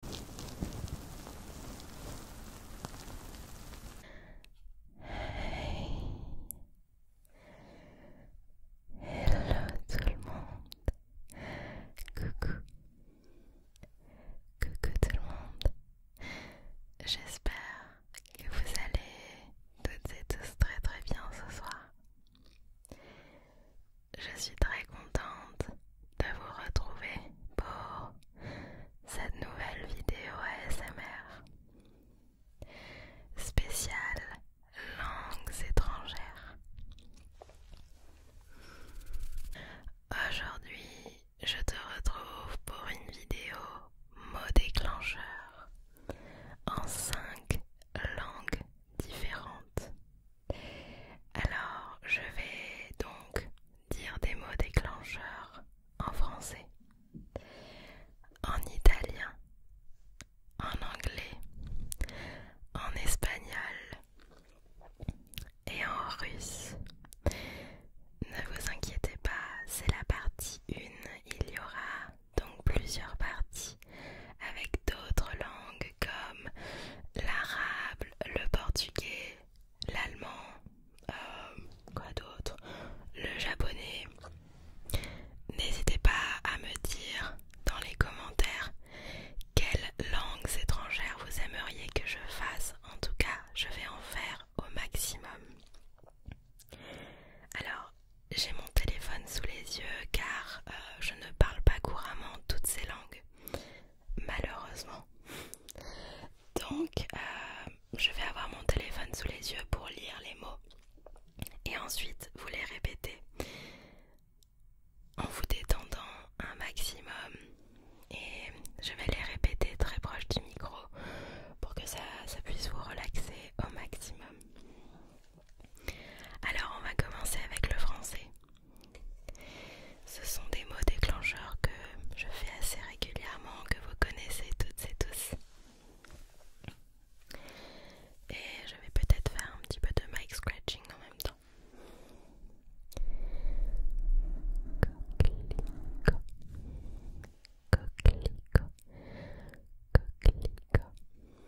Hello tout le monde. Coucou. Coucou tout le monde. J'espère que vous allez toutes et tous très très bien ce soir je suis très contente de vous retrouver pour cette nouvelle vidéo ASMR spéciale langues étrangères. Aujourd'hui, je te retrouve pour une vidéo mot déclencheur en 5 langues différentes. Alors, je vais donc dire des mots déclencheurs en français, en italien, en anglais, en espagnol et en russe. Ne vous inquiétez pas, c'est la partie 1. Il y aura donc plusieurs parties avec d'autres langues comme l'arabe, le portugais, l'allemand, euh, quoi d'autre, le japonais. N'hésitez pas à me dire dans les commentaires quelles langues étrangères vous aimeriez que je fasse. En tout cas, je vais en faire au maximum. Alors, j'ai mon téléphone sous les yeux car euh, je ne parle pas couramment toutes ces langues malheureusement. Donc, euh, je vais avoir mon téléphone sous les yeux pour lire les mots et ensuite vous les répétez en vous détendant un maximum. Et je vais les répéter très proche du micro pour que ça puisse vous relaxer au maximum. Alors, on va commencer avec le français. Ce sont des mots déclencheurs que je fais assez régulièrement, que vous connaissez toutes et tous. Et je vais peut-être faire un petit peu de mic scratching en même temps.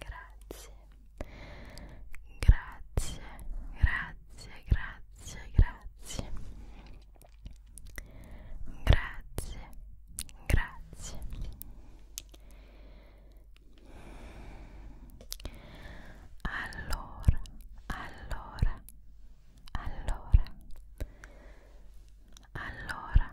grazie, grazie, grazie, grazie, grazie, grazie, grazie. Allora, allora, allora, allora, allora.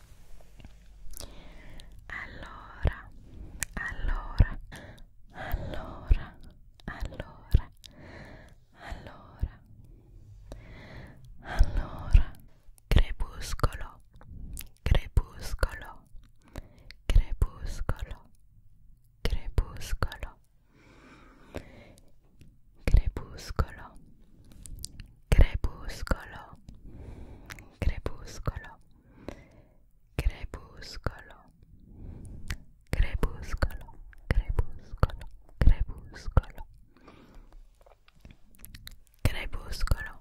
Allora, allora, allora, allora, allora, allora, crepuscolo, crepuscolo, crepuscolo, crepuscolo, crepuscolo, crepuscolo, crepuscolo crepúsculo, crepúsculo, crepúsculo, crepúsculo, crepúsculo,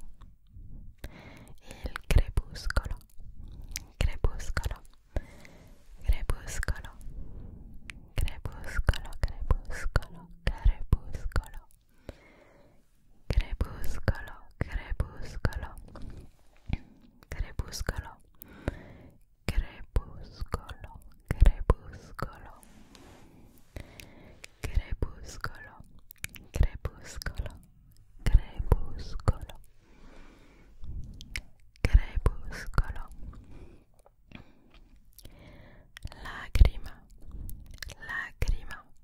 el crepúsculo, crepúsculo, crepúsculo, crepúsculo, crepúsculo, crepúsculo crepúsculo, crepúsculo, crepúsculo, crepúsculo, crepúsculo, crepúsculo, crepúsculo, crepúsculo, crepúsculo. Lacrima, lacrima,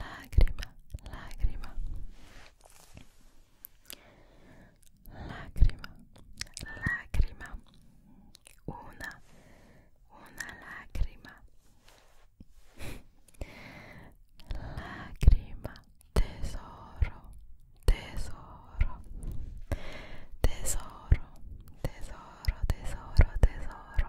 lacrima, lacrima, lacrima, lacrima, una, una lacrima, lacrima, tesoro, tesoro, tesoro, tesoro, tesoro, tesoro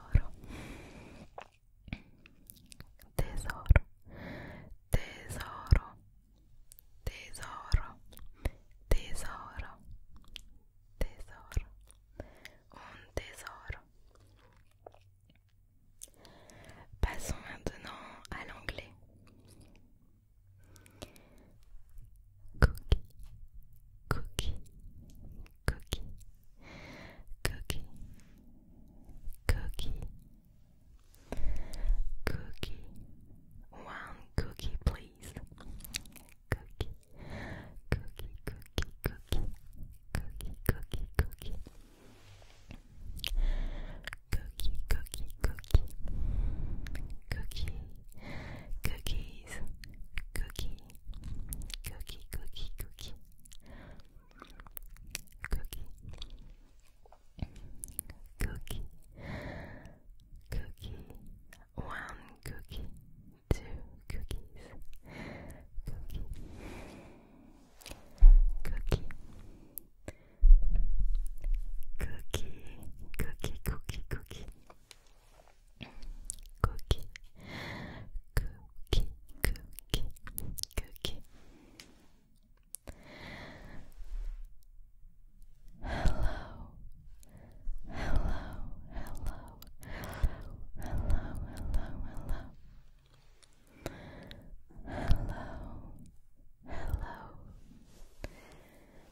tesoro tesoro tesoro tesoro tesoro Tesor un tesoro passons maintenant à l'anglais cookie cookie cookie, cookie, cookie, cookie. One cookie, please. Cookie, cookie, cookie, cookie, cookie, cookie, cookie. Cookie, cookie, cookie, cookies, cookies, cookie, cookie, cookie, cookie, cookie, cookie, one cookie, two cookies, cookie, cookie, cookie, cookie, cookie, cookie cookie, cookie, cookie, cookie. Hello, hello, hello, hello, hello, hello, hello. Hello, hello, hello, hello,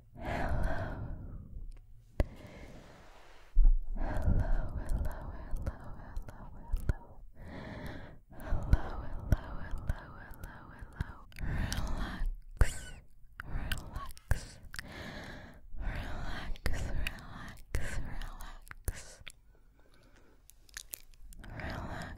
Hello. Hello, hello, hello, hello, hello. Hello, hello, hello, hello, Relax. Relax, relax, relax. Relax. Relax.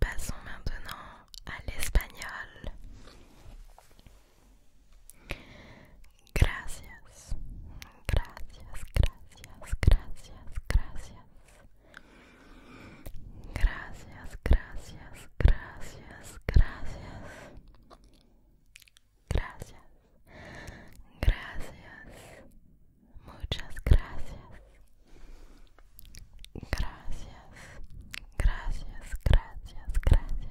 Passons maintenant à l'espagnol. Gracias, gracias, gracias, gracias, gracias. Gracias, gracias, gracias, gracias. gracias, gracias, muchas gracias, gracias, gracias, gracias, gracias, gracias,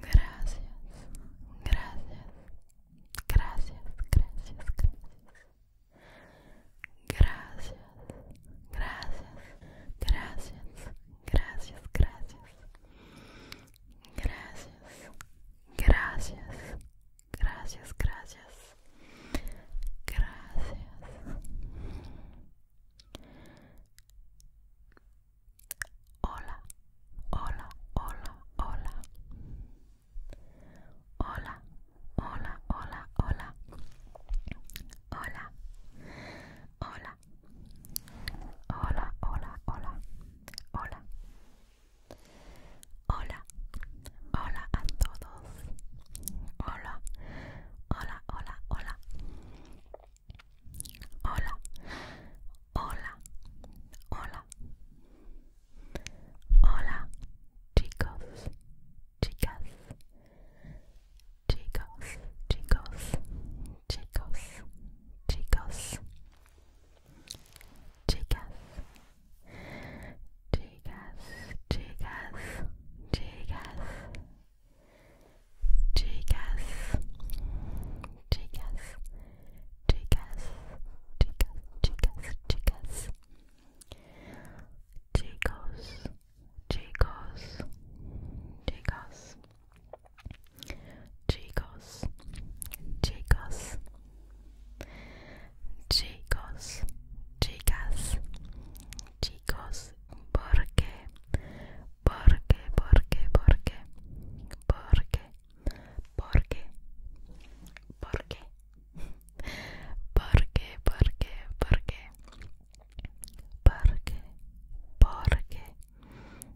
gracias, gracias, gracias, gracias. Gracias, gracias, gracias, gracias, gracias, Gracias, gracias, gracias, gracias, gracias. Hola, hola, hola, hola. Hola, hola, hola, hola. Hola, hola, hola, hola, hola, hola, hola, hola, a todos, hola, hola, hola, hola, hola, hola, hola, hola, chicos, chicas. Chicos, chicos, chicos, chicos, chicas, chicas, chicas, chicas, chicas, chicas, chicas, chicas, chicas, chicos, chicos, chicos. Chicos, chicos, chicos, chicas, chicos, porque, porque, porque, porque, porque, porque, porque, porque, porque, porque, porque, porque,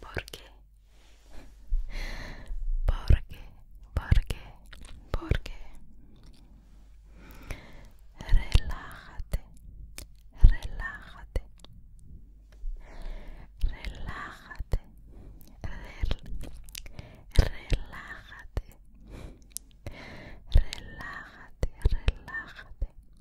¿Por qué? ¿Por qué? ¿Por qué? ¿Por qué? Relájate, relájate, relájate, relájate, relájate, relájate, relájate.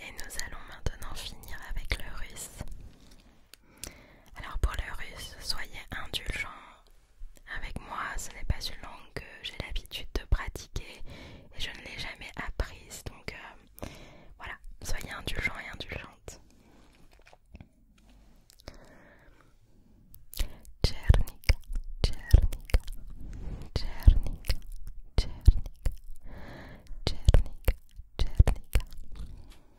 Et nous allons maintenant finir avec le russe. Alors pour le russe, soyez indulgents avec moi, ce n'est pas une langue que j'ai l'habitude de pratiquer et je ne l'ai jamais apprise. Donc euh, voilà, soyez indulgents et indulgentes. Tchernika,